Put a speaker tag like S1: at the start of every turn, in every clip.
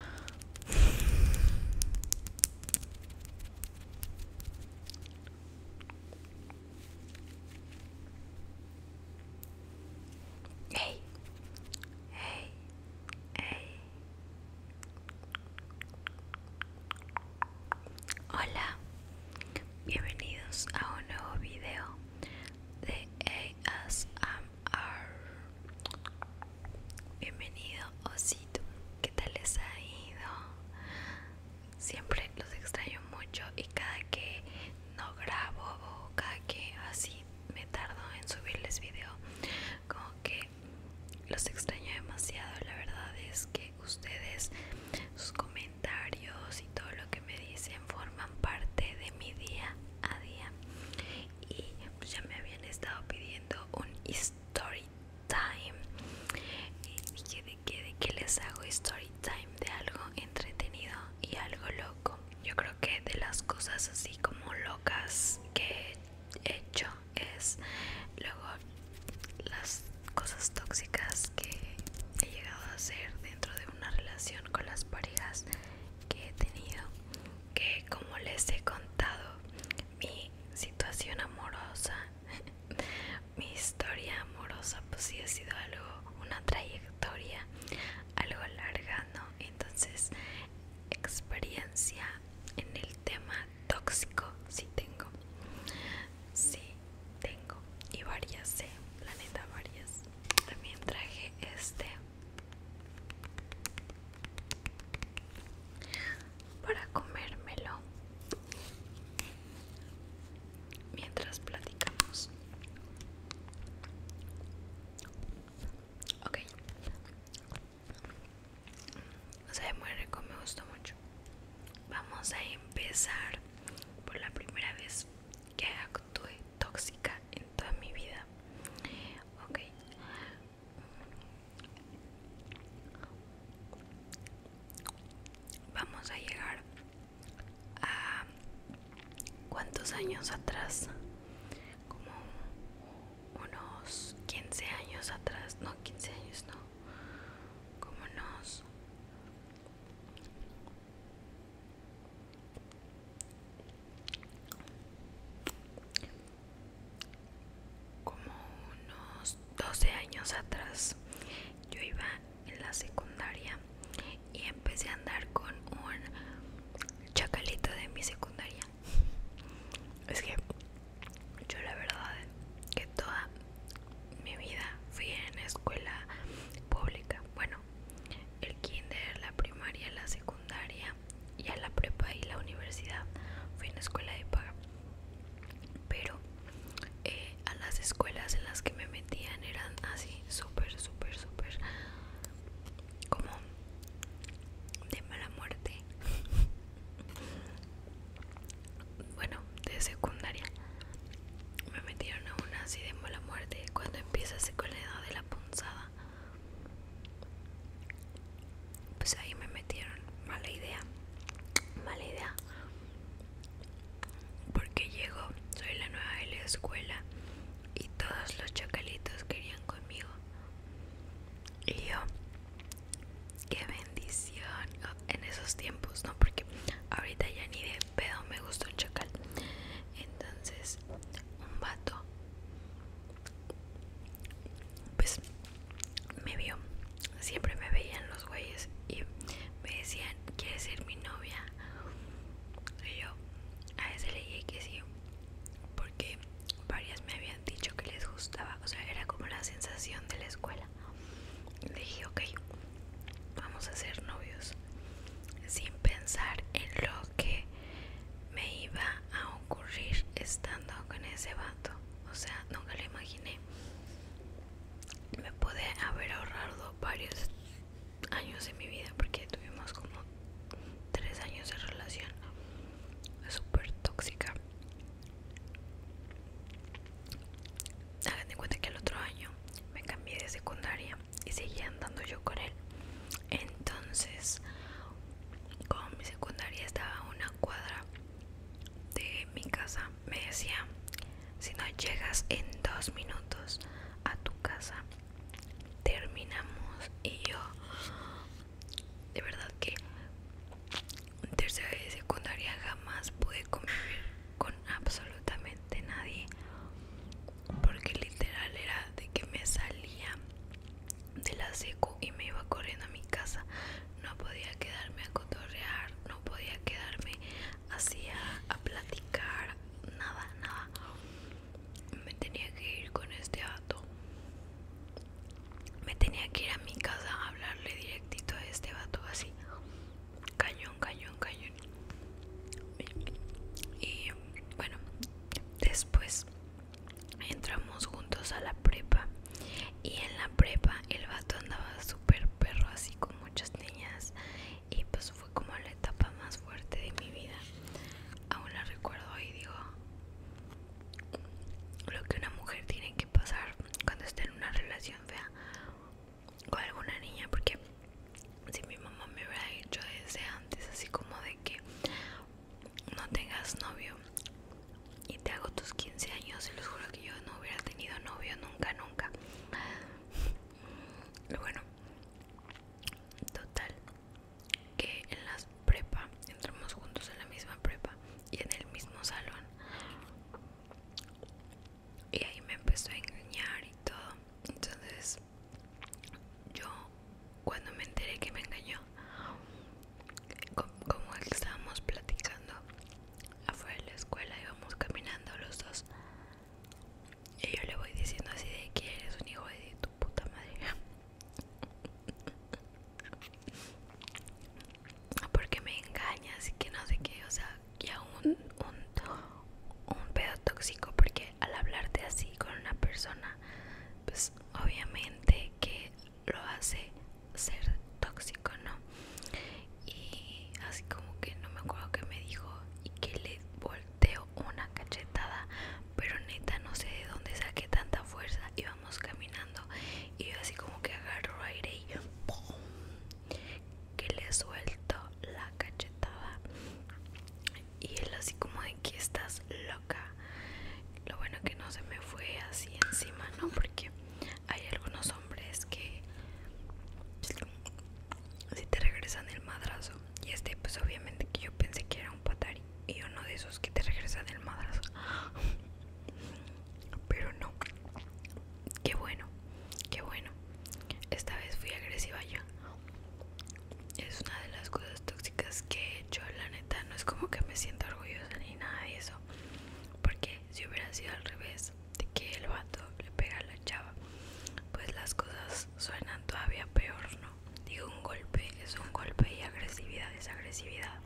S1: Hey, hey, hey. Hola, bienvenidos a un nuevo video de ASM Bienvenido, Osito. ¿Qué tal les ha ido? Siempre los extraño mucho y cada que no grabo o cada que así me tardo en subirles video, como que los extraño demasiado. La verdad es que ustedes, sus comentarios y todo lo que me dicen forman parte de mi día a día y pues, ya me habían estado pidiendo un story time y dije de que de que les hago story time de algo entretenido y algo loco yo creo que de las cosas así como locas que he hecho es luego las cosas tóxicas que he llegado a hacer dentro de una relación con las parejas que he tenido que como les he contado mi situación amorosa mi historia amorosa pues sí ha sido algo una trayectoria algo larga no entonces experiencia en el tema tóxico sí tengo sí tengo y varias sí, eh, planeta varias también traje este para comérmelo mientras platicamos. Ok. O sea, muy rico, me gustó mucho. Vamos a empezar por la primera vez que actúe tóxica en toda mi vida ok vamos a llegar a cuántos años atrás como unos 15 años atrás no 15 años no como unos como unos 12 años atrás yo iba en la secundaria y empecé a andar con un chacalito de mi secundaria es que yo la verdad que toda mi vida fui en escuela pública bueno el kinder la primaria la secundaria y a la prepa y la universidad fui en escuela de pago pero eh, a las escuelas en las que me metían eran así súper súper súper como de mala muerte bueno de secundaria me metieron a una así de mala muerte cuando empieza con la edad de la punzada pues ahí me metieron mala idea mala idea porque llego soy la nueva de la escuela y todos los chacalitos querían conmigo y yo qué bendición en esos tiempos no porque ahorita ya ni de pedo me gustó el chacal entonces un vato pues me vio siempre me veían los güeyes y me decían quiere ser mi novia y yo a ese le dije que sí porque varias me habían dicho que les gustaba o sea era como la sensación de la escuela le dije ok vamos a ser novios sin pensar en lo que me iba a ocurrir estando con ese vato. O sea, nunca lo imaginé. Me pude haber ahorrado varios años de mi vida porque tuvimos como tres años de relación súper tóxica. Hagan de cuenta que el otro año me cambié de secundaria y seguía andando yo con él entonces como mi secundaria estaba a una cuadra de mi casa me decía si no llegas en dos minutos a tu casa terminamos y yo de verdad que un tercera de secundaria jamás pude convivir con absolutamente nadie porque literal era de que me salía de la secu y me iba corriendo a mi casa no podía quedarme a cotorrear no podía quedarme así a, a platicar nada nada me tenía que ir con este vato me tenía que ir a mi casa a hablarle directito a este vato así cañón cañón cañón y bueno después entramos juntos a la prepa y en la prepa el vato andaba súper perro así con muchas niñas y pues fue como la etapa más fuerte de mi vida aún la recuerdo y digo lo que una mujer tiene que pasar cuando está en una relación fea con alguna niña porque si mi mamá me hubiera dicho desde antes así como de que no tengas novio y te hago tus 15 años y los juro que yo no hubiera tenido novio nunca nunca mm, bueno total que en las prepa entramos juntos en la misma prepa y en el mismo salón y ahí me empezó a engañar y todo entonces yo cuando me enteré que me engañó como estábamos platicando afuera de la escuela íbamos caminando los dos y yo le voy diciendo así de que eres un hijo de tu puta madre porque me engañas y que no sé qué o sea que aún un, un un pedo tóxico porque al hablarte así con una persona pues obviamente que lo hace ser tóxico no y así como que no me acuerdo que me dijo y que le volteó una cachetada pero neta no sé de dónde saqué tanta fuerza íbamos caminando y yo así como que agarro aire y ¡pum! que le suelto la cachetada y él así como de que estás loca lo bueno que no se me fue así encima no porque hay algunos hombres que si te regresan el madrazo y este pues obviamente que yo pensé que era un patari y uno de esos que te regresan el madrazo pero no qué bueno qué bueno esta vez fui agresiva yo es una de las cosas tóxicas que he hecho la neta no es como que me siento orgullosa ni nada de eso porque si hubiera sido al revés de que el vato le pega a la chava pues las cosas suenan todavía peor no digo un golpe es un golpe y agresividad es agresividad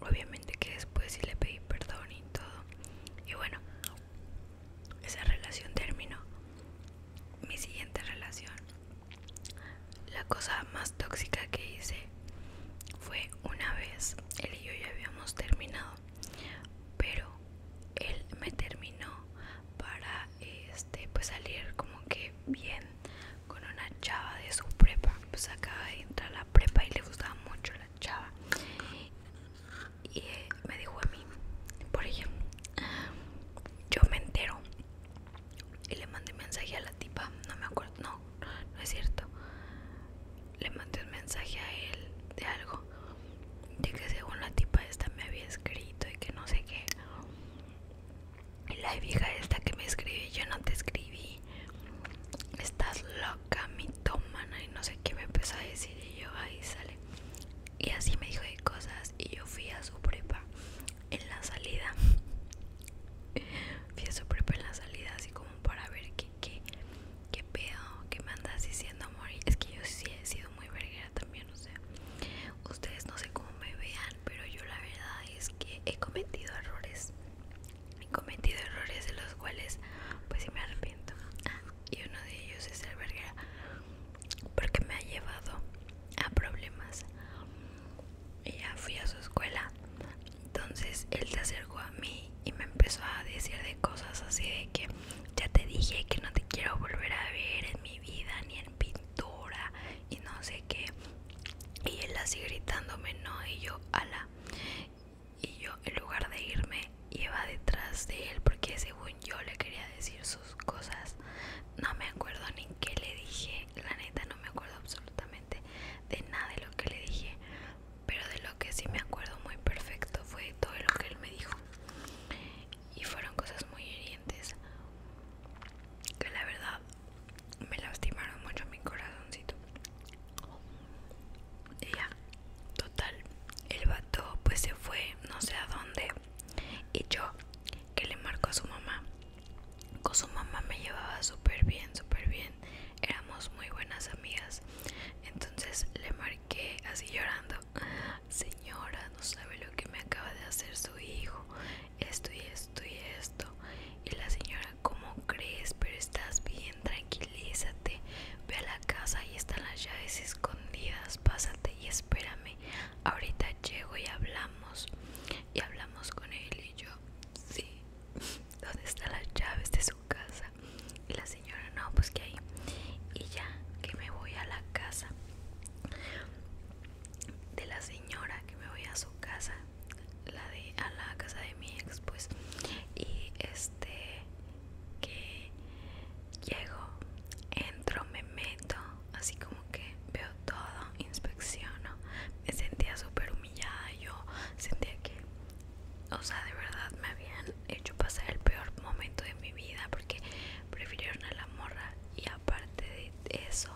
S1: obviamente que después sí le pedí perdón y todo y bueno esa relación terminó. Mi siguiente relación, la cosa más tóxica que hice fue una vez, él y yo ya habíamos terminado, pero él me terminó para este pues salir como que bien con una chava de su prepa, pues acaba de entrar a la prepa y le gustaba mucho la chava y eh, me dijo a mí, por ella, yo me entero y le mandé un mensaje a la tipa, no me acuerdo, no, no es cierto, le mandé un mensaje a él de algo, de que según la tipa esta me había escrito y que no sé qué, y la vieja esta que me escribe, yo no te escribí, estás loca, mi toma y no sé qué me empezó a decir y yo ahí sale y así me dijo de cosas y yo fui a su prepa en la salida fui a su prepa en la salida así como para ver qué qué pedo que me andas diciendo amor es que yo sí he sido muy verguera también no sé ustedes no sé cómo me vean pero yo la verdad es que he cometido errores he cometido errores de los cuales pues sí me arrepiento ah, y uno de ellos es el verguera porque me ha llevado a problemas y ya fui a su escuela entonces él se acercó a mí y me empezó a decir de cosas así de que ya te dije que no te quiero volver a ver en mi vida ni en pintura y no sé qué y él así gritándome no y yo ala y yo en lugar de irme Lleva detrás de él porque según yo le quería decir sus cosas. No me acuerdo ni qué le dije, la neta no me acuerdo absolutamente de nada de lo que le dije, pero de lo que sí me acuerdo muy perfecto fue todo lo que él me dijo. Y fueron cosas muy hirientes que la verdad me lastimaron mucho mi corazoncito. ya, Total, el vato pues se fue no sé a dónde y yo que le marco a su mamá. Con su mamá me llevaba súper bien, súper bien. Éramos muy buenas amigas. Entonces le marqué así llorando. Señora, no sabe lo que me acaba de hacer su hijo. Esto y esto y esto. Y la señora, ¿cómo crees? Pero estás bien, tranquilízate. Ve a la casa, ahí están las llaves escondidas. Pásate y espérame. Ahorita llego y hablamos. Y hablamos con él y yo. Sí. ¿Dónde están las llaves de su casa? Y la señora, no, pues que ahí. Y ya, que me voy a la casa de la señora, que me voy a su casa, la de a la casa de mi ex, pues. Y este que llego, entro, me meto, así como que veo todo, inspecciono. Me sentía súper humillada, yo sentía que, o sea, de verdad me habían hecho pasar el peor momento de mi vida porque prefirieron a la morra y aparte de eso,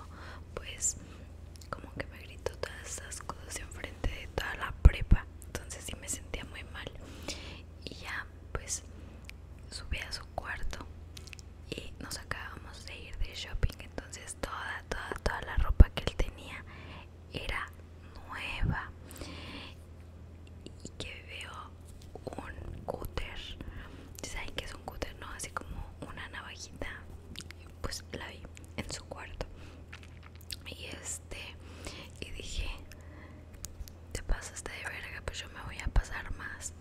S1: pues como que me gritó todas esas cosas enfrente de toda la prepa entonces sí me sentía muy mal y ya pues subí a su cuarto y nos acabamos de ir de shopping entonces toda toda toda la ropa que él tenía era nueva y que veo un cúter saben que es un cúter no así como una navajita pues la vi en su cuarto y este y dije te pasaste de verga, pues yo me voy a pasar más.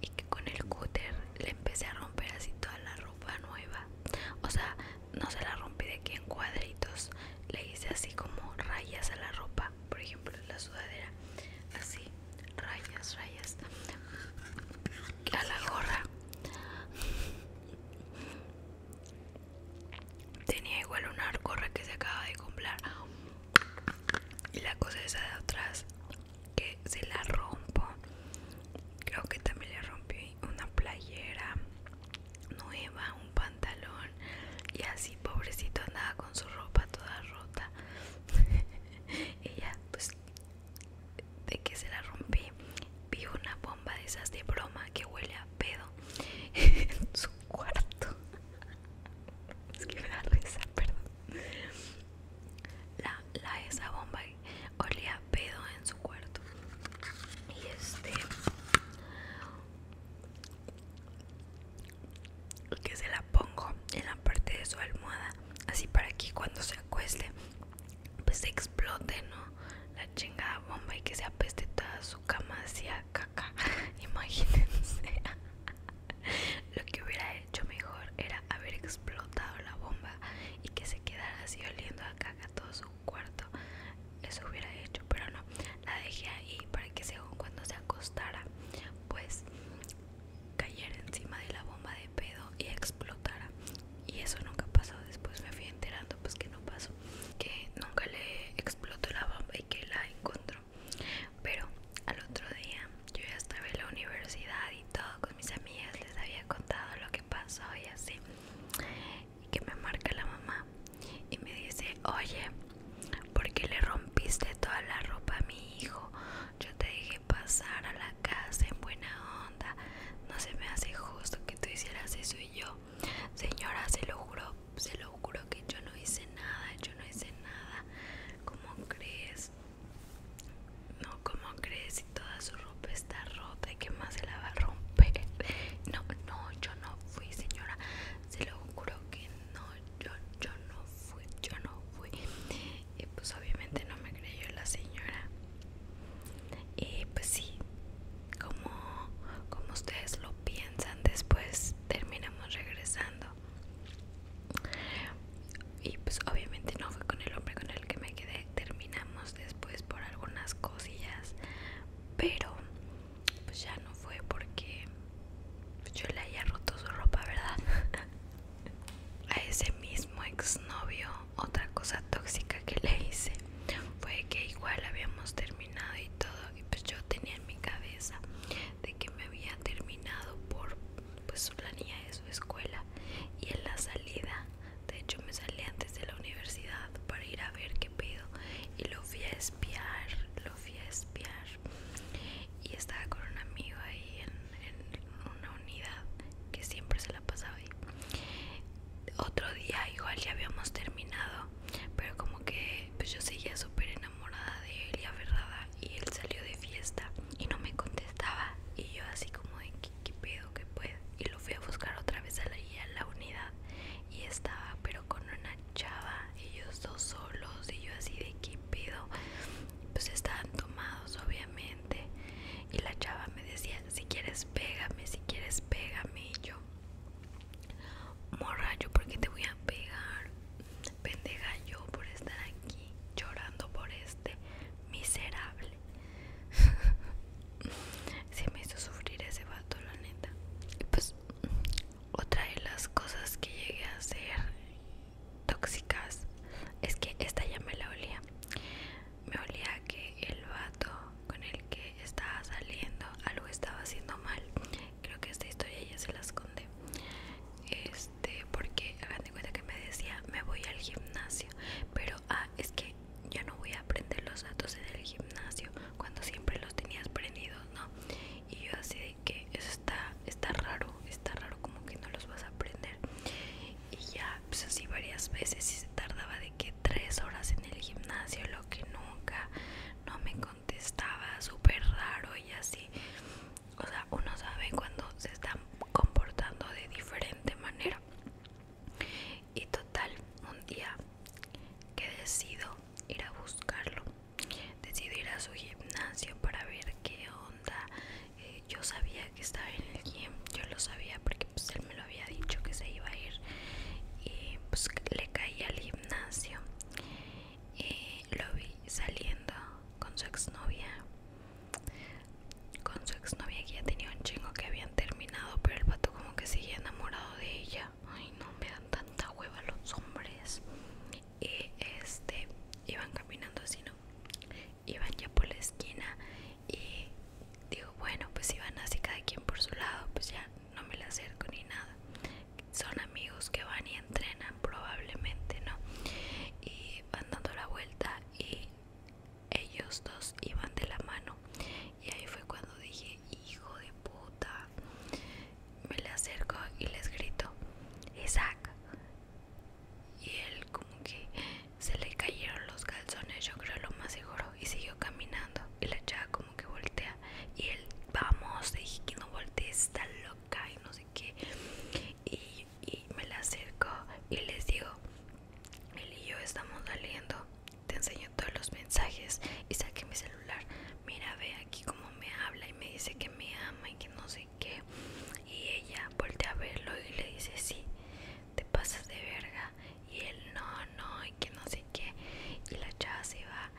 S1: Y que con el cúter le empecé a romper así toda la ropa nueva. O sea, no se la rompí de aquí en cuadritos. Le hice así como rayas a la ropa. Por ejemplo, la sudadera. Así, rayas, rayas. A la gorra. Tenía igual una arcorra que se acaba de comprar. Y la cosa esa de atrás que se la rompo. Creo que también le rompí una playera nueva, un pantalón. Y así, pobrecito, andaba con su ropa toda rota. Ella, pues, de que se la rompí, vi una bomba de esas de broma que huele a pedo en su cuarto. Es que me perdón. La, la esa bomba olía pedo en su cuarto. Y este. Que se la pongo en la parte de su almohada. Así para que cuando se acueste, pues se explote, ¿no? La chingada bomba y que se apeste toda su cama hacia acá. Imagínense. Lo que hubiera hecho mejor era haber explotado la bomba y que se quedara así oliendo a caca todo su cuarto. Eso hubiera hecho, pero no. La dejé ahí para que según cuando se acostara, pues cayera encima de la bomba de pedo y explotara. Y eso nunca pasó. Después me fui enterando pues que no pasó. Que nunca le explotó la bomba y que la encontró pero al otro día yo ya estaba en la universidad y todo con mis amigas les había contado lo que pasó y así y que me marca la mamá y me dice oye porque le rompiste toda la ropa a mi hijo yo te dije pasar a la casa en buena onda no se me hace justo que tú hicieras eso y yo Señora, se lo juro, se lo juro que yo no hice nada, yo no hice nada. ¿Cómo crees? No, ¿cómo crees si toda su ropa está rota y que más se la va a romper? No, no, yo no fui, señora. Se lo juro que no, yo, yo no fui, yo no fui. Y pues obviamente no me creyó la señora. Y pues sí, como, como ustedes lo piensan después terminamos regresando y pues obviamente no fue con el hombre con el que me quedé terminamos después por algunas cosillas pero pues ya no fue porque yo le haya roto su ropa verdad a ese mismo exnovio otra cosa tóxica que le hice fue que igual habíamos terminado y todo y pues yo tenía en mi cabeza de que me había terminado por pues la niña de su escuela y en la salida de hecho me salí antes de la universidad para ir a ver qué pedo y lo fui a espiar lo fui a espiar y estaba con un amigo ahí en, en una unidad que siempre se la pasaba ahí otro día igual ya habíamos terminado pero como que pues yo seguía súper enamorada de él y verdad y él salió de fiesta y no me contestaba y yo así como de qué, pedo que pues y lo fui a buscar otra vez a la, a la unidad y estaba pero con una chava ellos dos solos y yo así de qué pedo pues estaban tomados obviamente y la chava me decía si quieres pégame si quieres pégame y yo Morra, yo porque te voy a pegar. Pendeja yo por estar aquí llorando por este miserable. Se me hizo sufrir ese vato, la neta. Y pues, otra de las cosas que llegué a ser tóxicas es que esta ya me la olía. Me olía que el vato con el que estaba saliendo algo estaba haciendo mal creo que esta historia ya se la esconde este porque hagan de cuenta que me decía me voy al gimnasio pero ah es que ya no voy a aprender los datos en el gimnasio cuando siempre los tenías aprendidos no y yo así de que eso está está raro está raro como que no los vas a aprender y ya pues así varias veces y se tardaba de que tres horas en el gimnasio lo que nunca no me contestaba súper raro y así o sea uno sabe cuando se están comportando de diferente manera y total un día que decido ir a buscarlo decido ir a su gimnasio para ver qué onda eh, yo sabía que estaba en el gym yo lo sabía porque pues, él me lo había dicho que se iba a ir y pues le caí al gimnasio eh, lo vi saliendo con su exnovia con su exnovia que ya tenía un chingo que habían terminado pero el pato como que seguía enamorado de ella ay no me dan tanta hueva los hombres y este iban caminando así no iban ya por la esquina y digo bueno pues iban así cada quien por su lado pues ya no me la acerco ni nada. Son amigos que van y entrenan probablemente, ¿no? Y van dando la vuelta y ellos dos iban de la mano. Y ahí fue cuando dije, hijo de puta. Me le acerco y les grito, Isaac. Y él como que se le cayeron los calzones, yo creo lo más seguro y siguió caminando y la chava como que voltea y él vamos dije que no voltees está loca y no sé qué y, y me la acerco y les digo él y yo estamos saliendo te enseño todos los mensajes y saqué mi celular mira ve aquí como me habla y me dice que me ama y que no sé qué y ella voltea a verlo y le dice sí te pasas de verga y él no, no, y que no sé qué, y la chava se va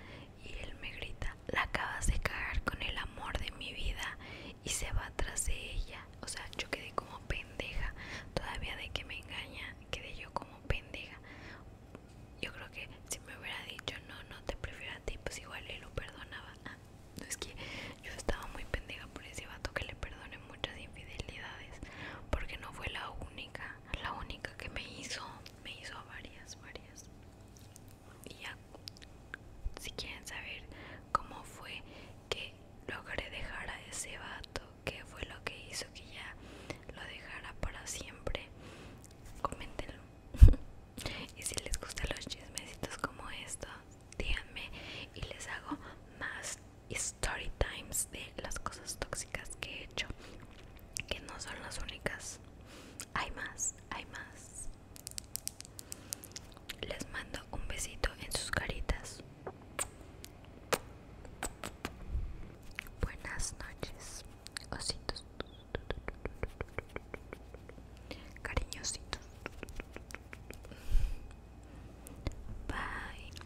S1: y él me grita, la acabas de cagar con el amor de mi vida y se va tras de ella, o sea, yo quedé como pendeja, todavía de que me engaña, quedé yo como pendeja, yo creo que si me hubiera dicho, no, no te prefiero a ti, pues igual él lo perdonaba, ah, no, es que yo estaba muy pendeja por ese vato que le perdone muchas infidelidades, porque no fue la única, la única que me hizo, me hizo varias, varias. Y ya, si quieren saber cómo fue que logré dejar a ese vato, qué fue lo que hizo que ya lo dejara para siempre, coméntenlo. y si les gustan los chismecitos como estos, díganme y les hago más story times de las cosas tóxicas que he hecho que no son las únicas hay más hay más les mando un besito en sus caritas buenas noches ositos cariñositos bye